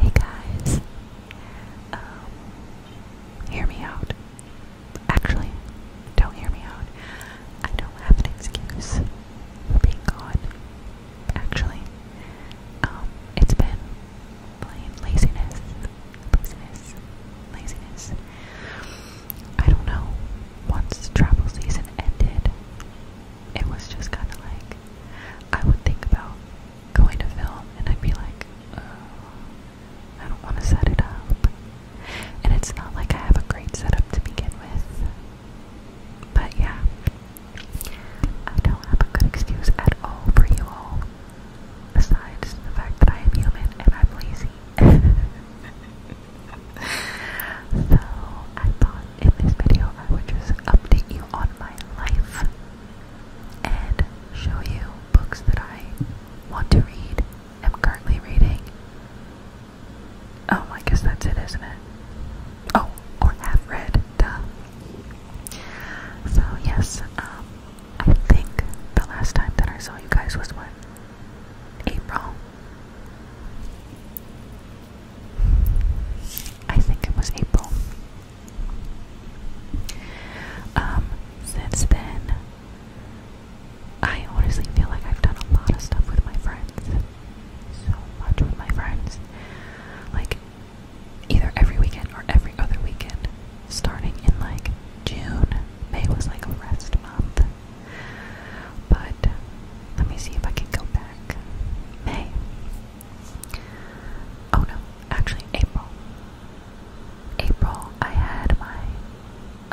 Hey guys, um, hear me out. Actually, don't hear me out. I don't have an excuse for being gone. Actually, um, it's been plain laziness, laziness, laziness. I don't know. Once travel season ended, it was just kind of like I would think about going to film and I'd be like, oh, I don't want to set it up. And it's not like I have a great setup to begin with. But yeah, I don't have a good excuse at all for you all. Besides the fact that I am human and I'm lazy. so I thought in this video I would just update you on my life and show you books that I want to read, am currently reading. Oh, I guess that's it, isn't it? Oh, or have read, duh. So, yes, um, I think the last time that I saw you guys was what? April? I think it was April. Um, since then, I honestly feel like I've done a lot of stuff with my friends. So much with my friends. Like, either every weekend or every other weekend. Starting in like June. May was like a rest month. But let me see if I can go back. May. Oh no, actually, April. April, I had my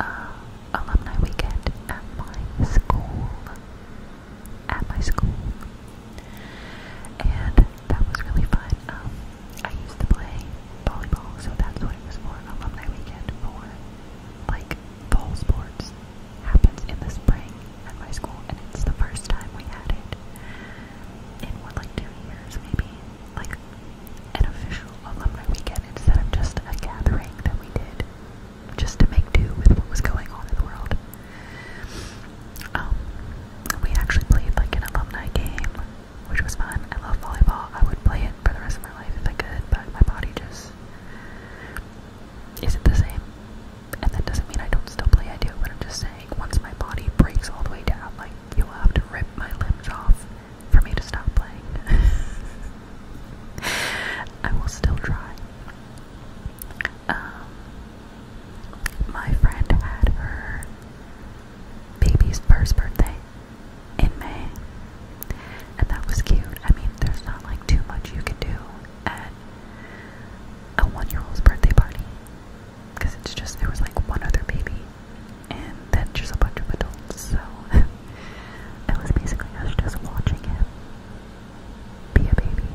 uh, alumni weekend at my school. At my school. And that was really fun. Um, I used to play volleyball, so that's what it was for. Alumni weekend for like fall sports happens in the spring at my school, and it's the first time we had it in what, like two years, maybe? Like an official alumni weekend instead of just a gathering that we did just to make do with what was going on in the world. Um, we actually played like an alumni game, which was fun. I love volleyball. I would play it for the rest of my life if I could, but my body just isn't the same and that doesn't mean I don't still play, I do, but I'm just saying, once my body breaks all the way down, like, you'll have to rip my limbs off for me to stop playing. I will still try. Um, my friend had her baby's first birthday in May, and that was cute. I mean, there's not like too much you can do at a one year old's birthday party because it's just there was like one other baby and then just a bunch of adults so it was basically just watching him be a baby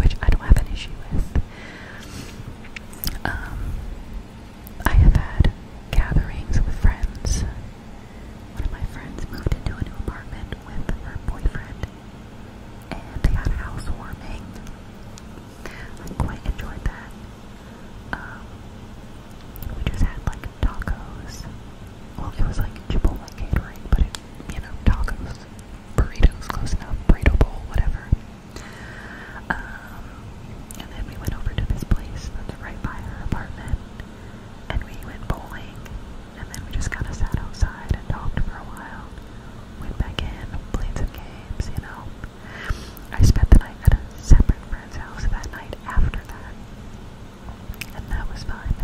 which I don't have an issue with um I have had gatherings with friends one of my friends moved into a new apartment with her boyfriend and they had housewarming. I quite enjoyed that. Um, we just had like tacos. Well, it was like Chipotle catering, but you know, tacos, burritos, close enough, burrito bowl, whatever. Um, and then we went over to this place that's right by her apartment, and we went bowling and then we just kind of sat outside and talked for a while. Went back in, played some games, you know. I spent the night at a separate friend's house that night after that, and that was fun.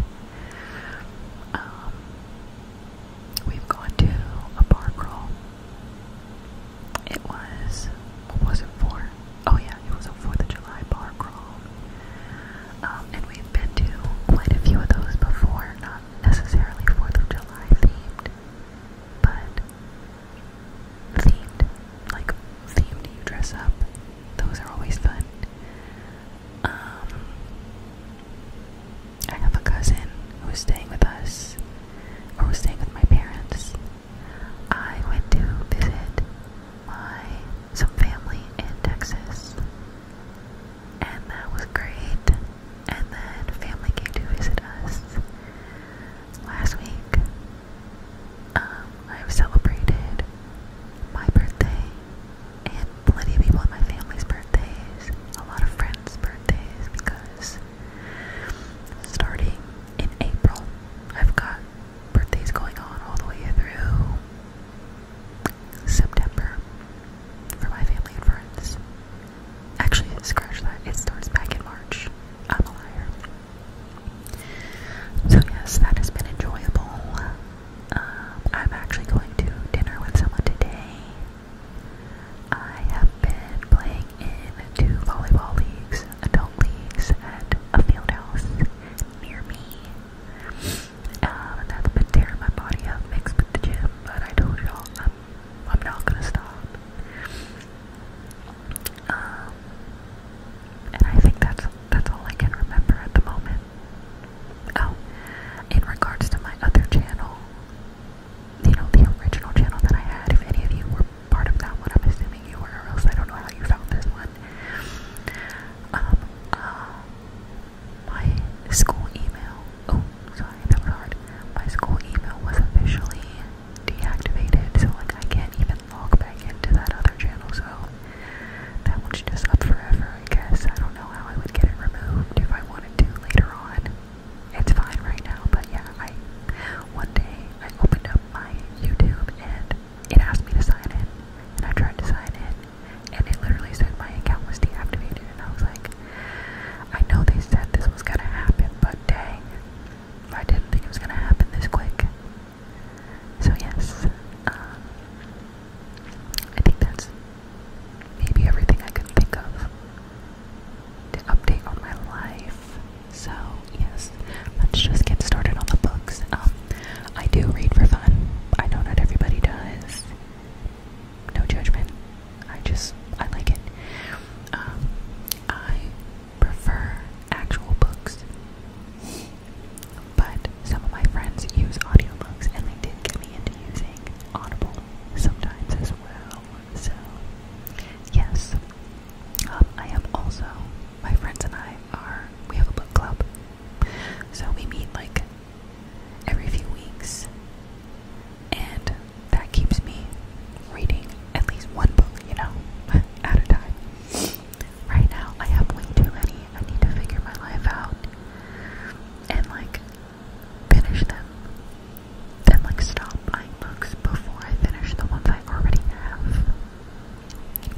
Um, we've gone to a bar crawl. It was, what was it for? Oh yeah, it was a 4th of July bar crawl. Um, and we've been to quite a few of those before, not necessarily 4th of July themed, but themed, like themed you dress up. Those are always fun. Um, I have a cousin who's staying with us, or was staying with my parents. I went to visit my some family in Texas and that was great. And then family came to visit us last week. Um, I've celebrated my birthday and plenty of people in my family's birthdays, a lot of friends' birthdays because starting in April, I've got birthdays going on all the way through September for my family and friends. Actually, scratch that. It starts back in March. I'm a liar. So, yes, that has been enjoyable. Um, I'm actually going to dinner with someone today. I have been playing in two volleyball leagues, adult leagues, at a field near me. Um, that's been tearing my body up mixed with the gym, but I told y'all I'm, I'm not gonna stop. Um, and I think that's that's all I can remember at the moment. Oh, in regards to my other channel, you know, the original channel that I had, if any of you were part of that one, I'm assuming you were, or else I don't know how you found this one. Um, uh, my school email, oh, sorry, that was hard. My school email was officially deactivated, so like I can't even log back into that other channel, so that one's just up forever, I guess. I don't know how I would get it removed if I wanted to later on. It's fine right now, but yeah, I one day I opened up my YouTube and it asked me to sign in, and I tried to sign in, and it literally said my account was deactivated, and I was like, I know they said this was gonna happen, but dang, I didn't think it was gonna happen this quick. So yes, um, I think that's maybe everything I could think of to update on my life. So yes, let's just get started on the books. Um, I do read for fun. I know not everybody does no judgment. I just I like it. Um, I prefer actual books, but some of my friends use audio books, and they did get me into using Audible sometimes as well. So yes, um, I am also my friends and I are we have a book club, so we meet like every few weeks, and that keeps me reading at least one book, you know, at a time. Right now, I have way too many. I need to figure my life out and like finish them, then like stop buying books before I finish the ones I already have.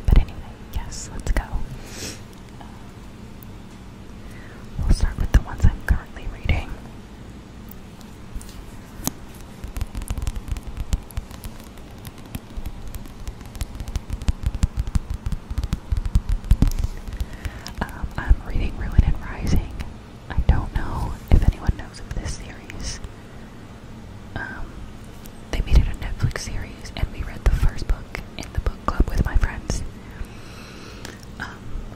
But anyway, yes, let's go we'll start with the ones I'm currently reading. Um, I'm reading Ruin and Rising. I don't know if anyone knows of this series. Um, they made it a Netflix series, and we read the first book in the book club with my friends.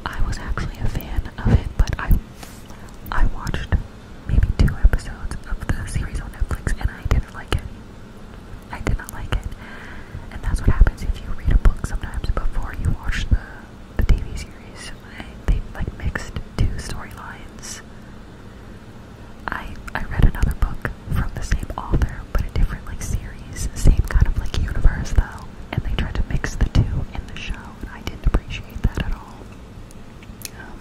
I was actually a fan of it, but I I watched maybe two episodes of the series on Netflix and I didn't like it. I did not like it. And that's what happens if you read a book sometimes before you watch the the TV series. I, they like mixed two storylines. I I read another book from the same author, but a different like series series, same kind of like universe though, and they tried to mix the two in the show, and I didn't appreciate that at all. Um,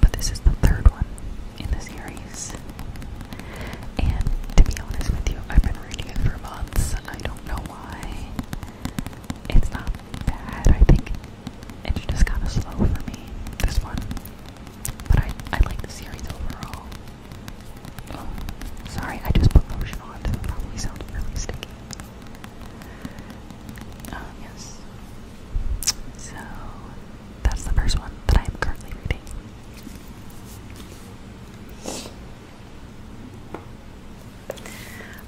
but this is the third one in the series, and to be honest with you, I've been reading it for months. I don't know why. It's not bad. I think it's just kind of slow for me. This one, but I I like the series overall. Oh, sorry, I just put lotion on. That probably sounded really sticky. Um, yes. So, that's the first one that I am currently reading.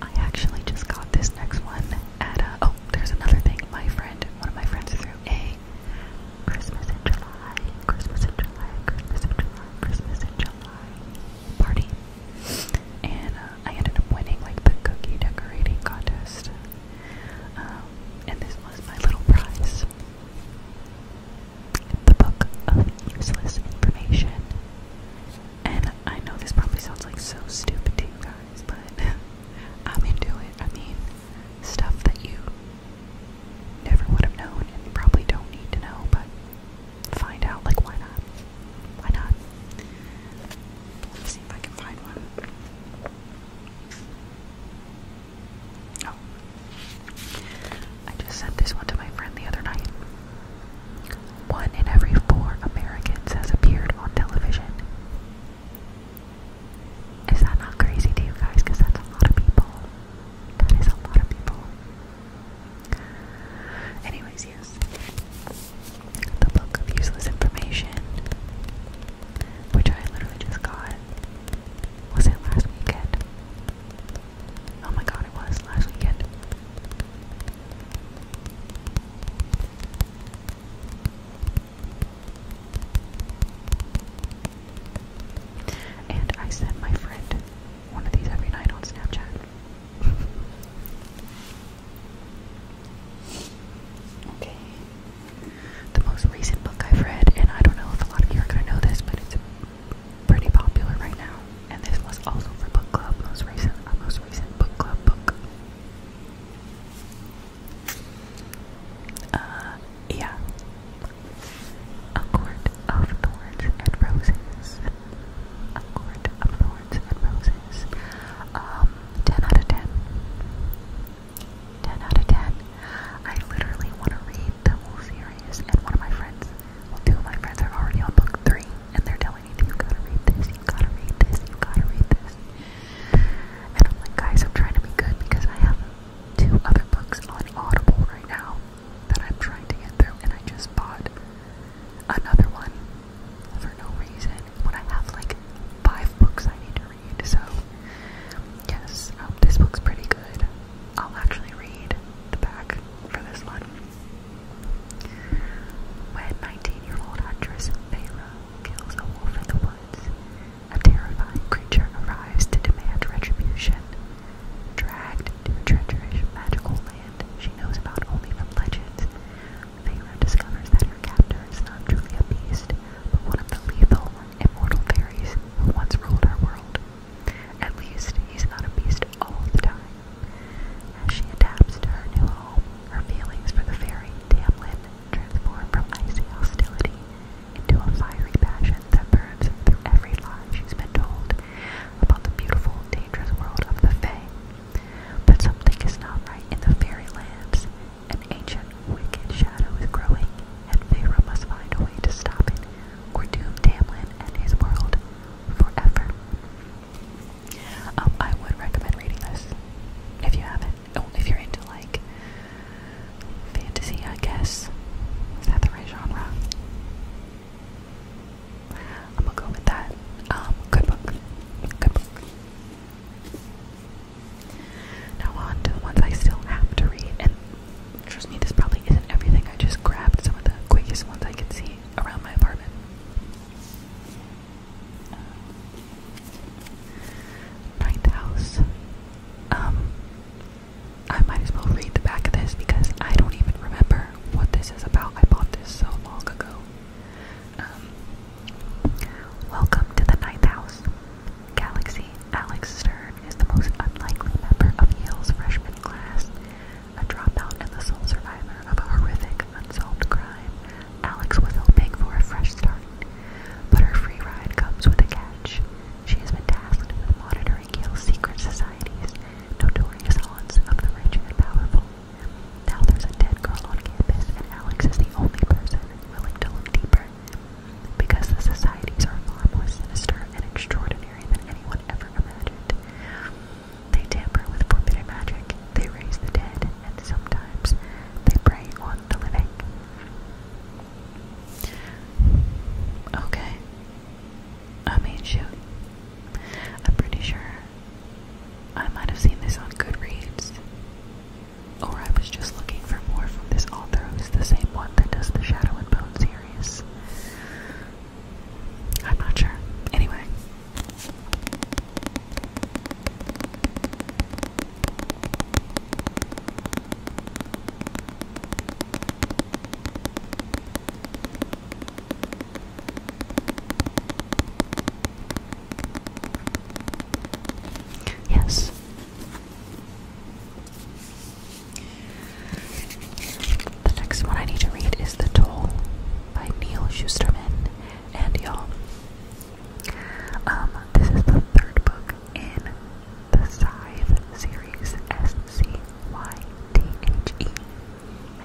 I actually just got this next one at Oh, there's another thing. My friend, one of my friends, threw a Christmas in July, Christmas in July, Christmas in July, Christmas in July party. And uh, I ended up winning like the cookie decorating contest. Um, and this was my little prize. The book of useless information. And I know this probably sounds like so stupid to you guys, but I'm into it. I mean, stuff that you never would have known and probably don't need to know, but find out. Like, why not? Why not? Let's see if I can find one. Oh. I just sent this one to my friend the other night. One in every four Americans has appeared on television. Is that not crazy to you guys? Because that's a lot of people. That is a lot of people. Anyways, yes. The book of useless information, which I literally just got. Was it last weekend? Oh my god, it was last weekend. And I send my friend one of these every night on Snapchat. okay. The most recent book I've read, and I don't know if a lot of you are going to know this, but it's pretty popular right now. And this was also for book club, most recent, uh, most recent book club book. Uh, yeah, a court of thorns and roses. A court of thorns and roses. Um, 10 out of 10. 10 out of 10. I literally want to read the whole series, and one of my friends, two of my friends are already on book three, and they're telling me, you gotta read this, you gotta read this, you gotta read this. And I'm like, guys, I'm trying to be good because I have two other books on Audible right now that I'm trying to get through, and I just bought another one for no reason when I have like five books I need to read. So, yes, um, this book's pretty good. I'll actually read the back for this one. When 19 year old actress Feyre kills a wolf in the woods, a terrifying creature arrives to demand retribution. Dragged to a treacherous magical land she knows about only from legends, Feyre discovers that her captor is not truly a beast, but one of the lethal, immortal fairies who once ruled our world. At least, he's not a beast all the time. As she adapts to her new home, her feelings for the fairy Damlin transform from icy hostility into a fiery passion that burns through every lie she's been told about the beautiful, dangerous world of the Fae. But something is not right in the fairy lands. An ancient, wicked shadow is growing, and Pharaoh must find a way to stop it, or doom Tamlin and his world forever. Um, I would recommend reading this if you haven't. if you're into like Fantasy, I guess. Is that the right genre? I'm gonna go with that. Um, good book. Good book. Now on to the ones I still have to read, and trust me, this probably isn't everything. I just grabbed some of the quickest ones I could see around my apartment. Uh, House. Um, I might as well read the back of this because I don't even remember what this is about. I bought this so long ago. Um, welcome to the ninth house. Galaxy Alex Stern is the most unlikely member of Yale's freshman class. A dropout and the sole survivor of a horrific, unsolved crime, Alex was hoping for a fresh start. But her free ride comes with a catch. She has been tasked with monitoring Yale's secret societies, notorious haunts of the rich and powerful. Now there's a dead girl on campus, and Alex is the only person willing to look deeper. Because the societies are far more sinister and extraordinary than anyone ever imagined. They tamper with forbidden magic, they raise the dead, and sometimes they prey on the living. Okay. I mean, shoot. I'm pretty sure I might have seen this on Goodreads. Or I was just looking for more from this author who's the same one that does the Shadow and Bone series. I'm not sure. Anyway. Yes. The next one I need to read is The Toll by Neil Schusterman. And y'all, um, this is the third book in the Scythe series, S-C-Y-T-H-E.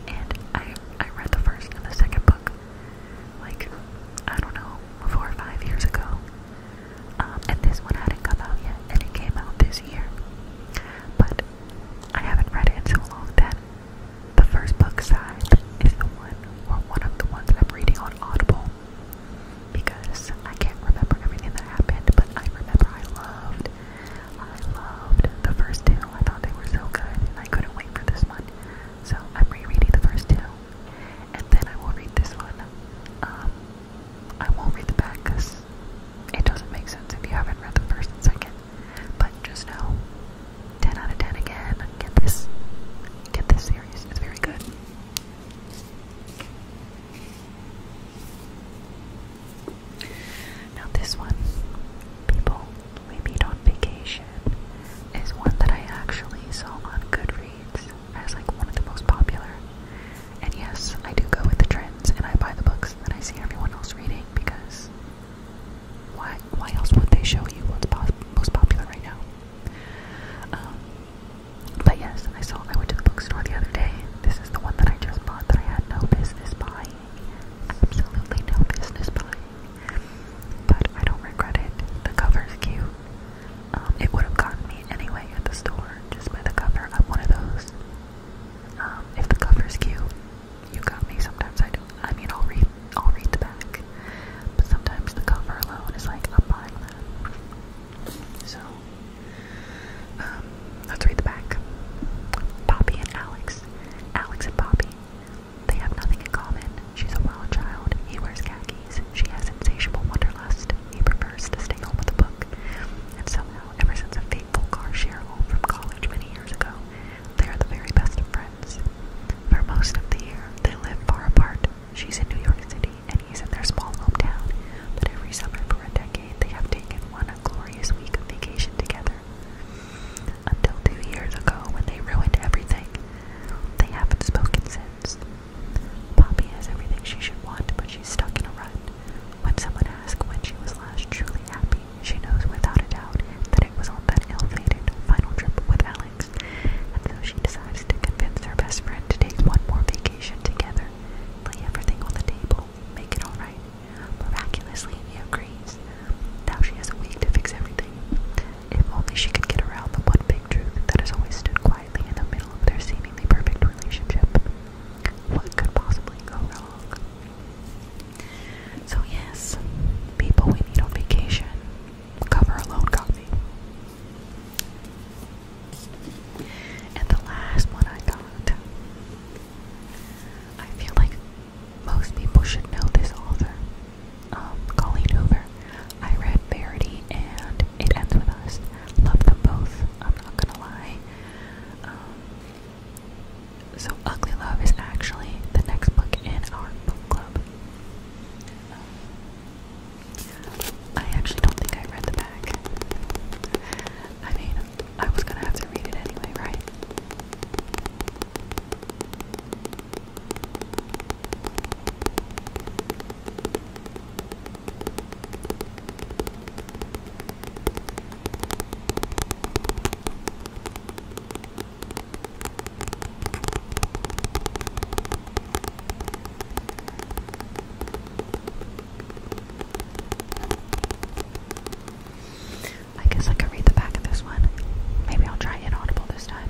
And I I read the first and the second book, like, I don't know, four or five years ago. Um, and this one hadn't come out yet, and it came out this year. But I haven't read it in so long then. the first book, Scythe, is the one, or one of the ones that I'm reading on Audible because I can't remember everything that happened, but I remember I loved, I loved the first two. I thought they were so good, and I couldn't wait for this one. So I'm rereading the first two, and then I will read this one. Um, I won't read the back because it doesn't make sense if you haven't read the first and second. But just know, 10 out of 10 again. Get this, get this series. It's very good. Now, this one, people, we meet on vacation, is one that I actually saw on Goodreads as like one of the most popular. And yes, I do go with the trends and I buy the books that I see everyone else reading because why, why else would they show you what's most popular right now? Um, but yes, I saw, I went to the bookstore the other day. This is the one that I just bought that I had no business buying. Absolutely no business buying. But I don't regret it. The cover's cute. Um, it would have gotten me anyway at the store, just by the cover. I'm one of those. Um, if the cover's cute, you got me. Sometimes I do. I mean, I'll read, I'll read the back, but sometimes the cover alone is like I'm buying that. So, um, let's read the back. Poppy and Alex. Alex and Poppy. They have nothing in common. She's a wild child. He wears khakis. She has insatiable wanderlust. He prefers to stay home with a book. And somehow, ever since a fateful car share home from college many years ago, they are the very best of friends. For most of the year, they live far apart, She's in New York City and he's in their small hometown, but every summer for a decade they have taken one glorious week of vacation together. Until two years ago when they ruined everything. They haven't spoken since. Poppy has everything she should want, but she's stuck in a rut. When someone asks when she was last truly happy, she knows without a doubt that it was on that ill-fated final trip with Alex, and so she decides to convince her best friend to take one more vacation vacation together. Lay everything on the table. Make it alright. Miraculously, he agrees. Now she has a week to fix everything. If only she could get around the one big truth that has always stood quietly in the middle of their seemingly perfect relationship. What could possibly go wrong? So, yes, people we need on vacation. Cover alone got me. And the last one I got. I feel like most people should know this author, um, Colleen Hoover. I read Verity and It Ends With Us. Love them both, I'm not gonna lie. Um, so, Ugly Love is actually the next book in our book club. I actually don't think I read the back. I mean, I was gonna have to read it anyway, right? I guess I could read the back of this one. Maybe I'll try inaudible this time.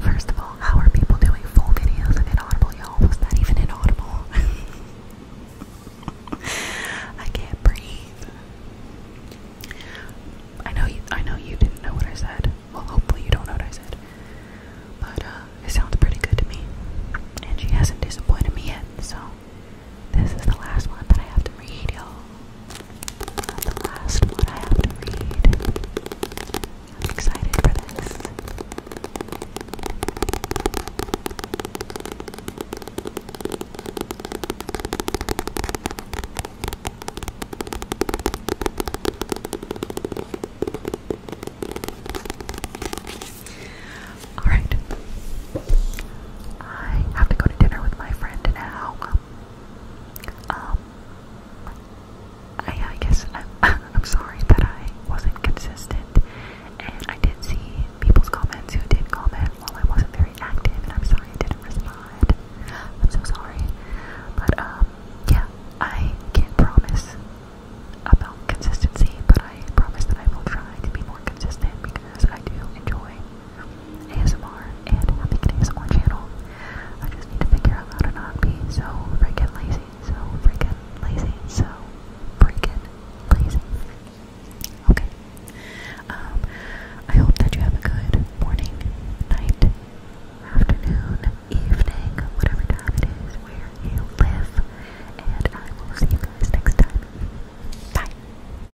First of all, how are people doing full videos of Inaudible, y'all? Was that even inaudible? I can't breathe. I know you. I know you didn't know what I said. Well, hopefully you don't know what I said. But uh, it sounds pretty good to me, and she hasn't disappointed me yet. So this is the last one that I have to read, y'all. The last one I have to read. I'm excited for this. Alright. I have to go to dinner with my friend now. Um, I, guess I'm, I'm sorry that I wasn't consistent, and I did see people's comments who did comment while I wasn't very active, and I'm sorry I didn't respond. I'm so sorry. But, um, yeah, I can't promise about consistency, but I promise that I will try to be more consistent because I do enjoy ASMR and a big ASMR channel. I just need to figure out how to not be so freaking lazy, so freaking lazy, so freaking lazy. Okay. Um, I hope that you have a good morning, night, afternoon, evening, whatever time it is where you live, and I will see you guys next time. Bye.